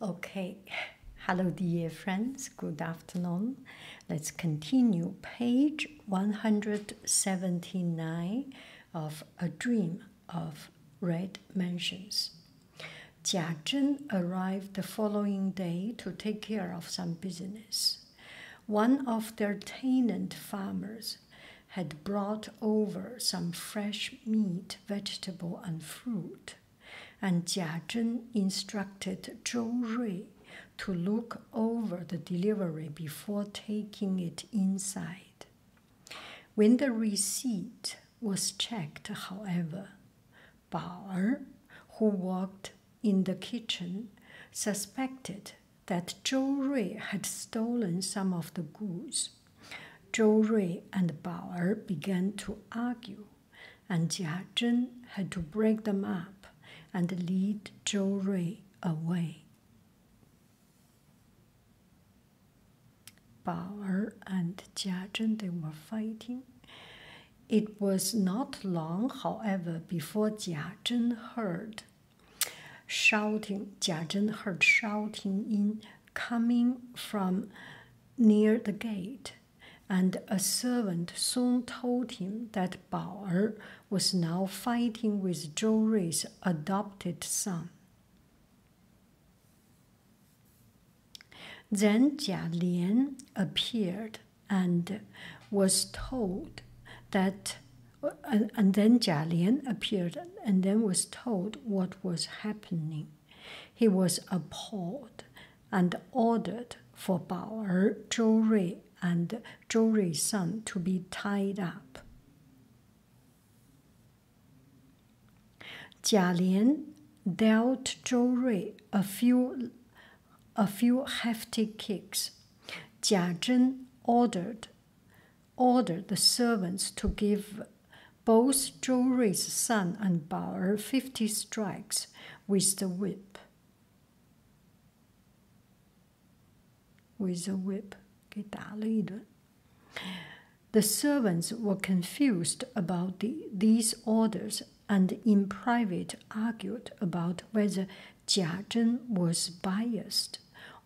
Okay, hello dear friends, good afternoon. Let's continue page 179 of A Dream of Red Mansions. Jia Zhen arrived the following day to take care of some business. One of their tenant farmers had brought over some fresh meat, vegetable, and fruit. And Jia Zhen instructed Zhou Rui to look over the delivery before taking it inside. When the receipt was checked, however, Baer, who worked in the kitchen, suspected that Zhou Rui had stolen some of the goods Zhou Rui and Bao Er began to argue, and Jia Zhen had to break them up and lead Zhou Rui away. Bao and Jia Zhen they were fighting. It was not long, however, before Jia Zhen heard shouting. Jia Zhen heard shouting in coming from near the gate, and a servant soon told him that Bao er was now fighting with Zhou Rui's adopted son. Then Jia Lian appeared and was told that, and, uh, and then Jia Lian appeared and then was told what was happening. He was appalled and ordered for Bao Er, Zhou Rui, and Zhou Rui's son to be tied up. Jia Lian dealt Zhou Rui a few, a few hefty kicks. Jia Zhen ordered, ordered the servants to give both Zhou Rui's son and Bao 50 strikes with the whip. With the whip. 给打了一顿. The servants were confused about these orders and in private argued about whether Jia Zhen was biased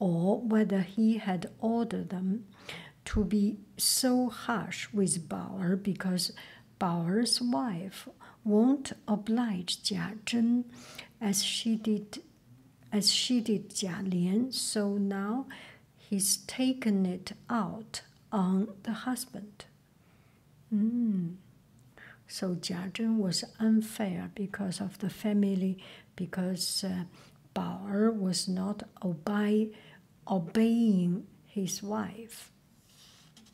or whether he had ordered them to be so harsh with Bauer because Bauer's wife won't oblige Jia Zhen as she did as she did Jia Lian, so now he's taken it out on the husband. Mm. So Jia Zhen was unfair because of the family, because uh, Bauer was not obey, obeying his wife.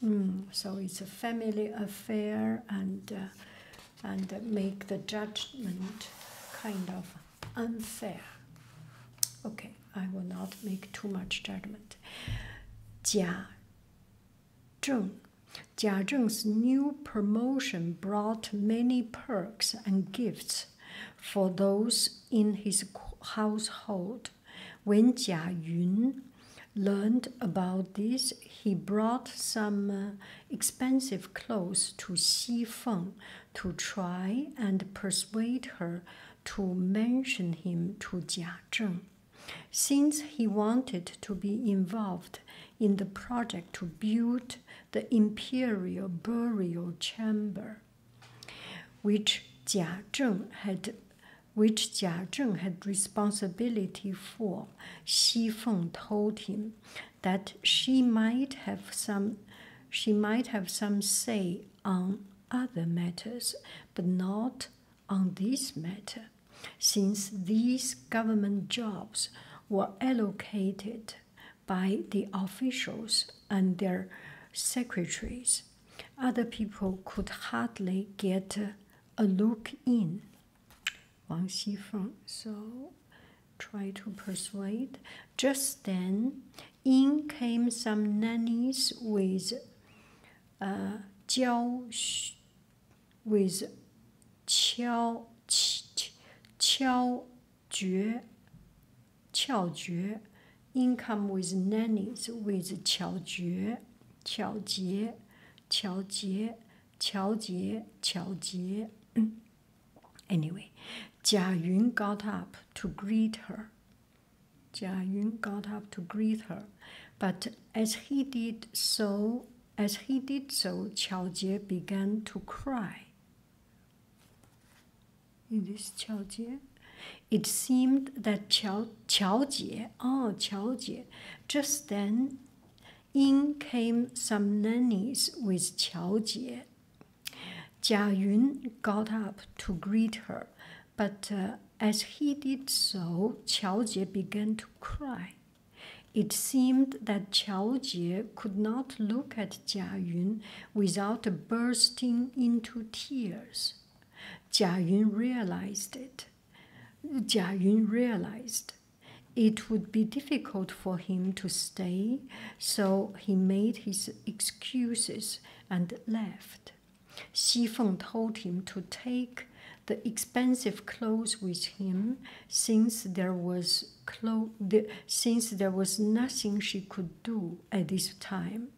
Mm, so it's a family affair and uh, and make the judgment kind of unfair. Okay, I will not make too much judgment. Jia Zheng. Jia Zheng's new promotion brought many perks and gifts for those in his household. When Jia Yun learned about this, he brought some uh, expensive clothes to Xi Feng to try and persuade her to mention him to Jia Zheng. Since he wanted to be involved in the project to build the imperial burial chamber, which Jia Zheng had which Jia Zheng had responsibility for, Xi Feng told him that she might have some she might have some say on other matters, but not on this matter, since these government jobs were allocated by the officials and their secretaries. Other people could hardly get a look in. Wang Xifeng so tried to persuade. Just then, in came some nannies with uh, jiao with qiao, qiao 绝巧绝，income with nannies with 巧绝巧杰巧杰乔杰巧杰。Anyway，贾云 got up to greet her. Jia Yun got up to greet her, but as he did so, as he did so, Qiao Jie began to cry. It is Chao Jie. It seemed that Chao, Chao Jie, oh, Chao Jie, just then in came some nannies with Chao Jie. Jia Yun got up to greet her, but uh, as he did so, Chao Jie began to cry. It seemed that Chao Jie could not look at Jia Yun without bursting into tears. Jia Yun realized it. Jia Yun realized it would be difficult for him to stay, so he made his excuses and left. Xi Feng told him to take the expensive clothes with him, since there was clo- since there was nothing she could do at this time,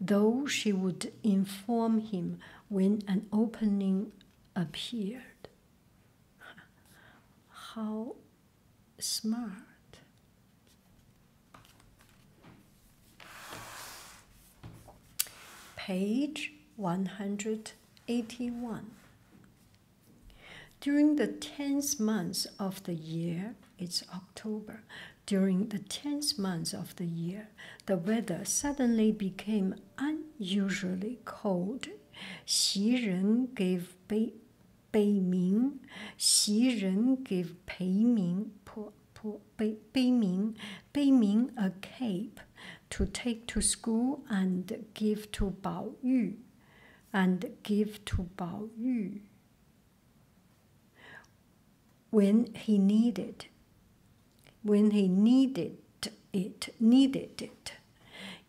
though she would inform him when an opening appeared. How smart! Page 181. During the 10th month of the year, it's October. During the 10th month of the year, the weather suddenly became unusually cold. Xi Ren gave Bei, Bei Ming, Xi Ren gave Pei Ming, Bei Ming, Bei Ming a cape to take to school and give to Bao Yu, and give to Bao Yu when he needed when he needed it needed it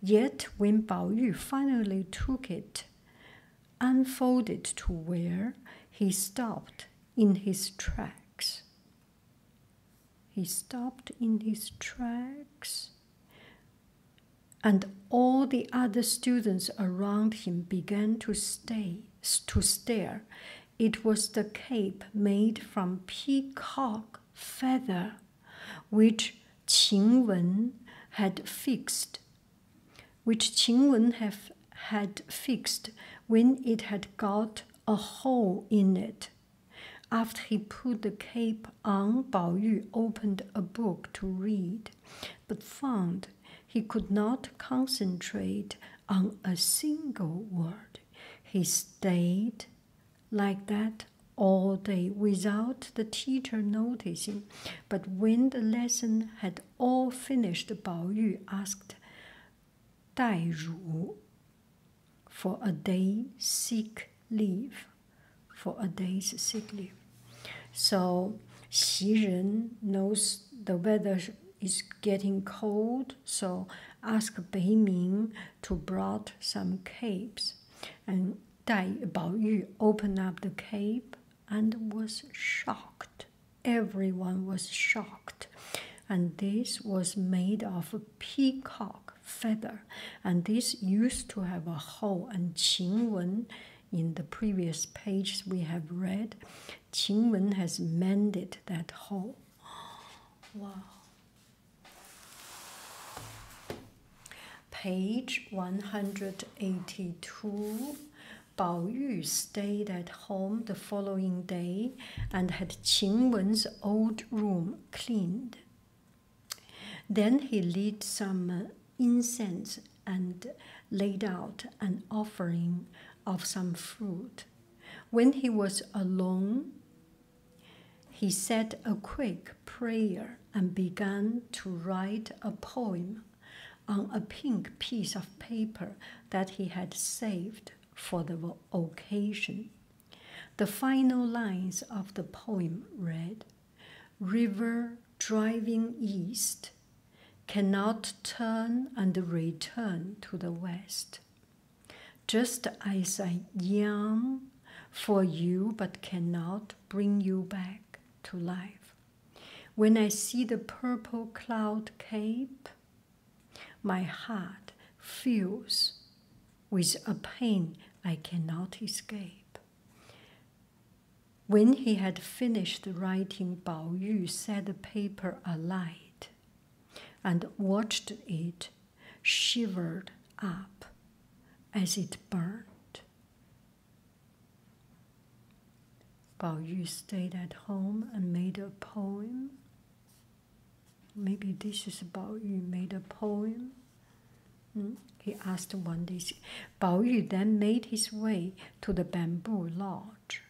yet when Bao Yu finally took it unfolded to where he stopped in his tracks he stopped in his tracks and all the other students around him began to stay to stare. It was the cape made from peacock feather, which Qing Wen had fixed, which Qing Wen have had fixed when it had got a hole in it. After he put the cape on, Bao Yu opened a book to read but found he could not concentrate on a single word. He stayed like that all day without the teacher noticing. But when the lesson had all finished, Bao Yu asked Dai Ru for a day sick leave for a day's sick leave. So Xi knows the weather is getting cold, so ask Bei Ming to brought some capes. And Dai Baoyu opened up the cape and was shocked. Everyone was shocked. And this was made of a peacock feather. And this used to have a hole, and Qing Wen in the previous page we have read, Qing Wen has mended that hole. Wow. Page 182. Bao Yu stayed at home the following day and had Qing Wen's old room cleaned. Then he lit some incense and laid out an offering of some fruit. When he was alone, he said a quick prayer and began to write a poem on a pink piece of paper that he had saved for the occasion. The final lines of the poem read river driving east cannot turn and return to the west. Just as I yearn for you but cannot bring you back to life. When I see the purple cloud cape, my heart fills with a pain I cannot escape. When he had finished writing, Bao Yu set the paper alight and watched it shiver up as it burned. Bao Yu stayed at home and made a poem. Maybe this is Bao Yu made a poem Hmm? He asked one day. Bao Yu then made his way to the bamboo lodge.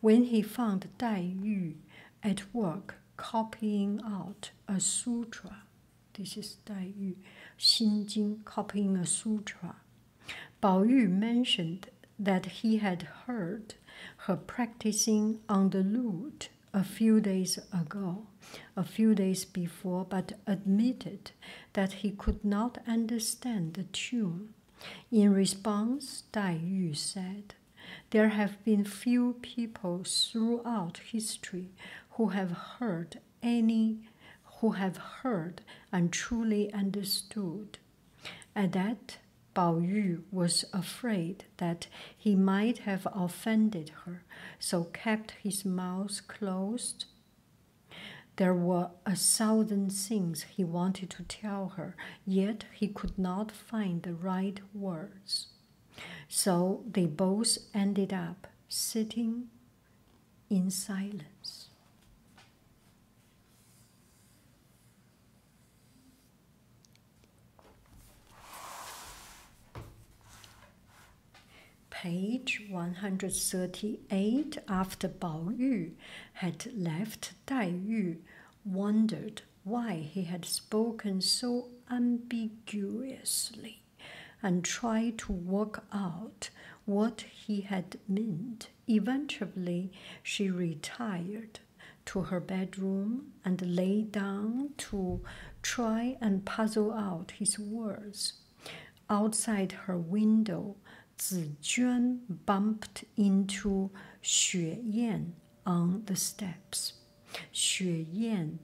When he found Dai Yu at work copying out a sutra, this is Dai Yu, Xin Jing copying a sutra, Bao Yu mentioned that he had heard her practicing on the lute a few days ago, a few days before, but admitted that he could not understand the tune. In response, Dai Yu said, There have been few people throughout history who have heard any who have heard and truly understood. At that, Bao Yu was afraid that he might have offended her, so kept his mouth closed there were a thousand things he wanted to tell her, yet he could not find the right words. So they both ended up sitting in silence. Page 138 after Bao Yu had left, Dai Yu wondered why he had spoken so ambiguously and tried to work out what he had meant. Eventually, she retired to her bedroom and lay down to try and puzzle out his words. Outside her window, Zijuan bumped into Xue Yan on the steps. Xue Yan,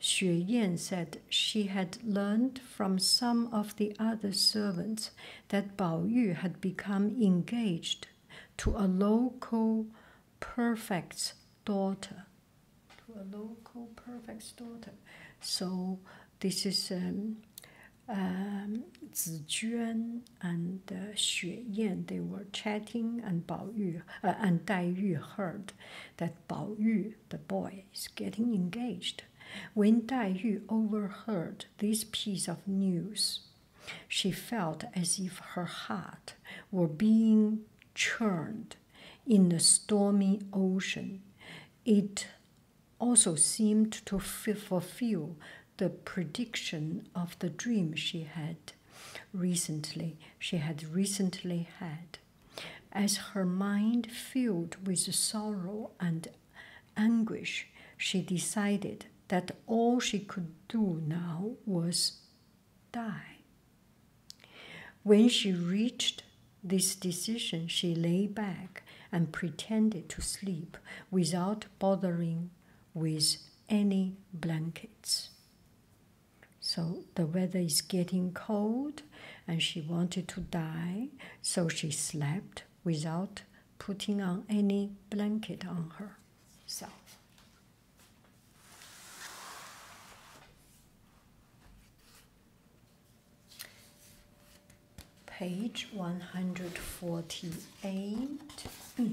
Xue Yan said she had learned from some of the other servants that Bao Yu had become engaged to a local prefect's daughter to a local perfect daughter. So this is um, um, Zijuan and uh, Xue Yan. They were chatting, and Bao Yu uh, and Dai Yu heard that Bao Yu, the boy, is getting engaged. When Dai Yu overheard this piece of news, she felt as if her heart were being churned in the stormy ocean. It also seemed to fulfill the prediction of the dream she had recently she had recently had as her mind filled with sorrow and anguish she decided that all she could do now was die when she reached this decision, she lay back and pretended to sleep without bothering with any blankets. So the weather is getting cold and she wanted to die, so she slept without putting on any blanket on her. herself. Page 148. Hmm.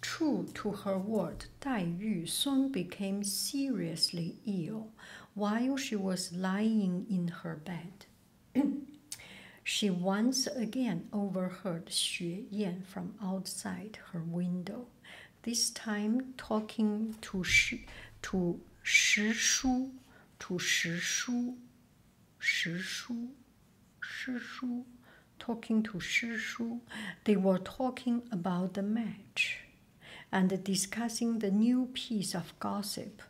True to her word, Dai Yu soon became seriously ill while she was lying in her bed. she once again overheard Xue Yan from outside her window. This time talking to shi to shi shu to shi shu shi shu shi shu talking to shi shu. They were talking about the match and discussing the new piece of gossip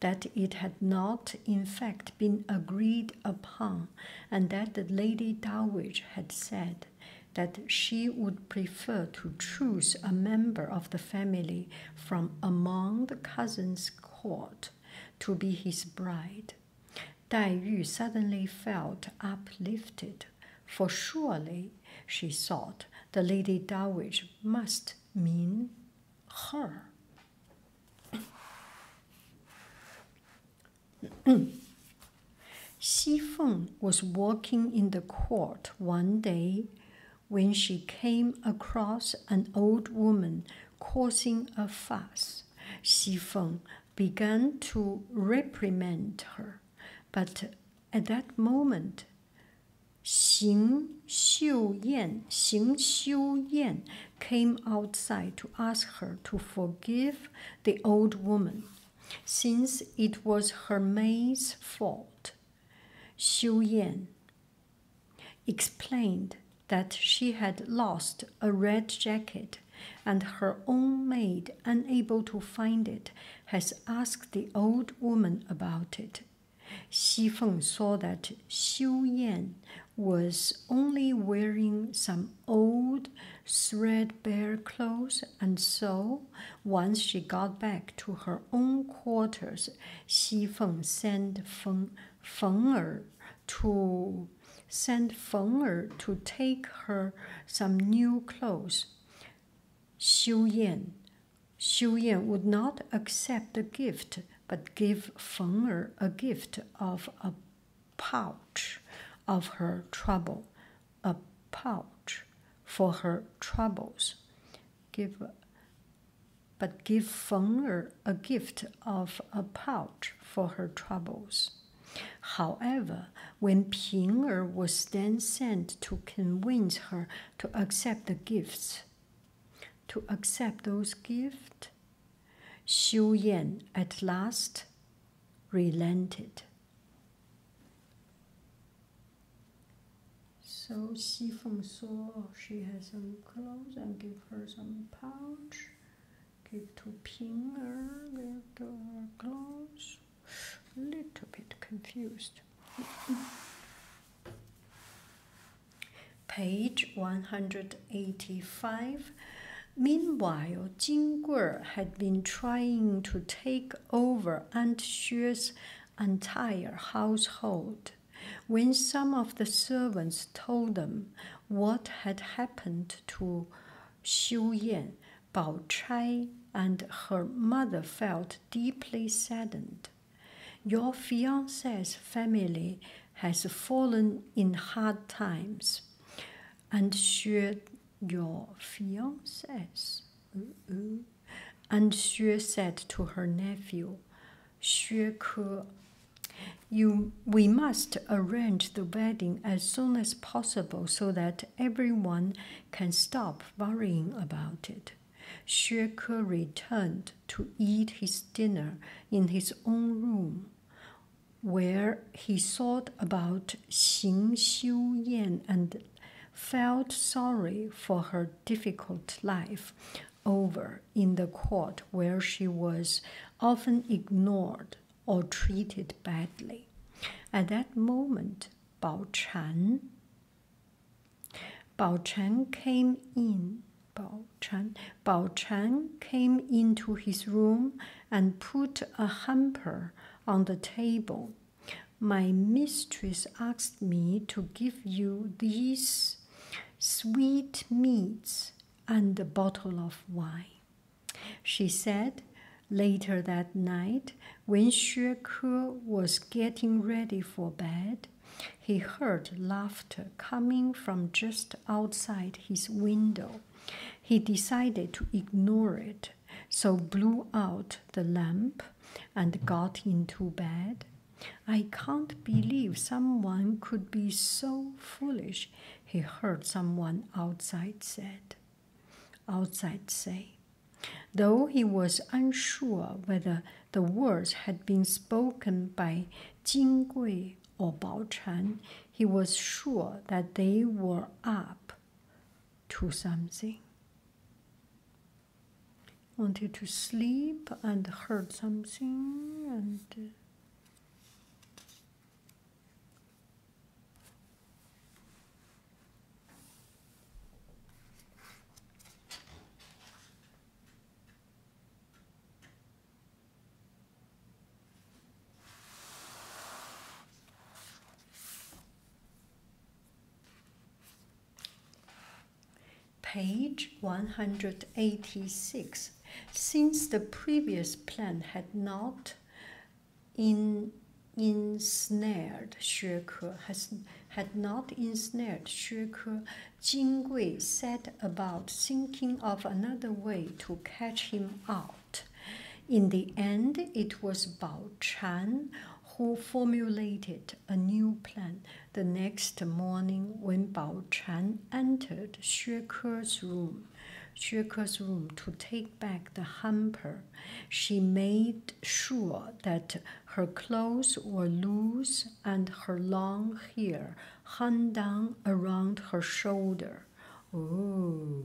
that it had not in fact been agreed upon and that the lady dowager had said that she would prefer to choose a member of the family from among the cousins' court to be his bride. Tai Yu suddenly felt uplifted, for surely, she thought, the Lady Dowager must mean her. Xi Feng was walking in the court one day when she came across an old woman causing a fuss. Xi Feng began to reprimand her, but at that moment, Xing Xiuyan, Xing Xiuyan came outside to ask her to forgive the old woman since it was her maid's fault. Xiu Yan explained that she had lost a red jacket and her own maid, unable to find it, has asked the old woman about it. Xi Feng saw that Xiu Yan was only wearing some old threadbare clothes, and so, once she got back to her own quarters, Xi Feng sent Feng, Feng er to sent Feng to take her some new clothes. Xiu Yan, Xiu Yan would not accept the gift, but gave Feng er a gift of a pouch of her trouble a pouch for her troubles. Give, but give Feng Er a gift of a pouch for her troubles. However, when Ping Er was then sent to convince her to accept the gifts, to accept those gifts, Xiu Yan at last relented. So Xi Feng saw she has some clothes and give her some pouch. Give to Ping'er her, give to her clothes. Little bit confused. Page 185. Meanwhile, Jing Guer had been trying to take over Aunt Xue's entire household. When some of the servants told them what had happened to Xiu Yan, Bao Chai and her mother felt deeply saddened. Your fiance's family has fallen in hard times, and Xue your fiance's. Uh, uh, and Xue said to her nephew, Xue Ke, you, we must arrange the wedding as soon as possible so that everyone can stop worrying about it. Xue Ke returned to eat his dinner in his own room, where he thought about about Xing Xiu Yan and felt sorry for her difficult life over in the court where she was often ignored or treated badly. At that moment, Bao Chan, Bao Chan came in. Bao Chan, Bao Chan came into his room and put a hamper on the table. My mistress asked me to give you these sweet meats and a bottle of wine. She said later that night, when Xue Ke was getting ready for bed, he heard laughter coming from just outside his window. He decided to ignore it so blew out the lamp and got into bed. I can't believe someone could be so foolish, he heard someone outside said. Outside say. Though he was unsure whether the words had been spoken by Jing Gui or Bao Chan, he was sure that they were up to something. wanted to sleep and heard something and. Uh, Page 186. Since the previous plan had not in, ensnared Xue Ke, had not ensnared Xue Ke, Jing Wei set about thinking of another way to catch him out. In the end, it was Bao Chan who formulated a new plan. The next morning, when Bao Chan entered Xue Ke's room, Xue Ke's room to take back the hamper, she made sure that her clothes were loose and her long hair hung down around her shoulder. Oh.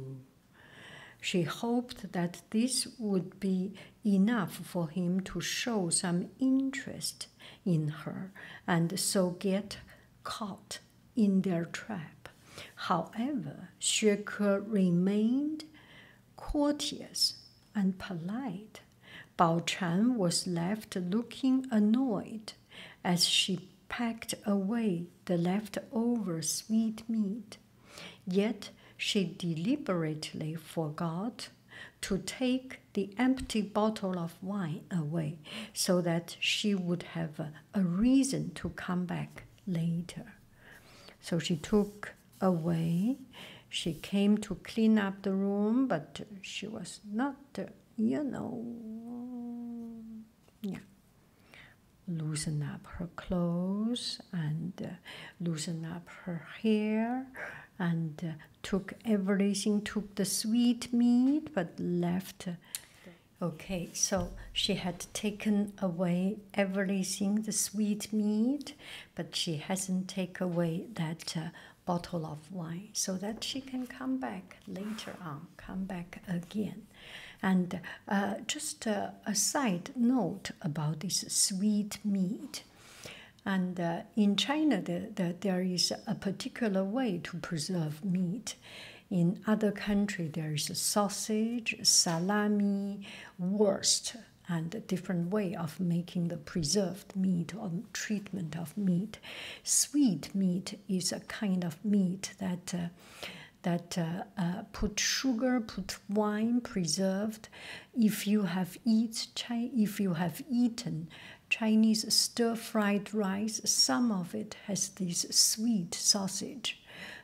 She hoped that this would be enough for him to show some interest in her and so get caught in their trap. However, Xue Ke remained courteous and polite. Bao Chan was left looking annoyed as she packed away the leftover sweetmeat Yet she deliberately forgot to take the empty bottle of wine away so that she would have a, reason to come back later. So she took away. She came to clean up the room, but she was not, you know, yeah. Loosen up her clothes and uh, loosen up her hair and uh, took everything, took the sweet meat but left. Uh, okay, so she had taken away everything, the sweet meat, but she hasn't take away that bottle of wine so that she can come back later on, come back again. And uh, just a side note about this sweet meat. And uh, in China, the, there is a particular way to preserve meat. In other countries, there is sausage, salami, worst, and a different way of making the preserved meat or treatment of meat. Sweet meat is a kind of meat that uh, that uh, uh, put sugar, put wine, preserved. If you have eat, if you have eaten Chinese stir-fried rice, some of it has this sweet sausage,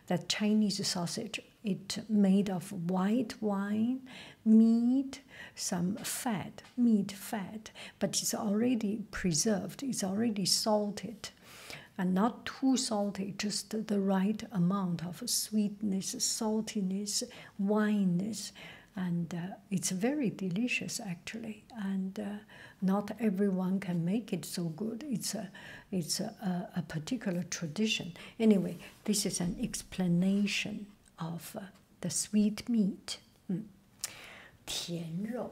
that Chinese sausage. It made of white wine, meat, some fat, meat fat, but it's already preserved. It's already salted and not too salty, just the right amount of sweetness, saltiness, wineness, and uh, it's very delicious actually. And uh, not everyone can make it so good. It's a, it's a, particular tradition. Anyway, this is an explanation of uh, the sweet meat. Hmm. 甜肉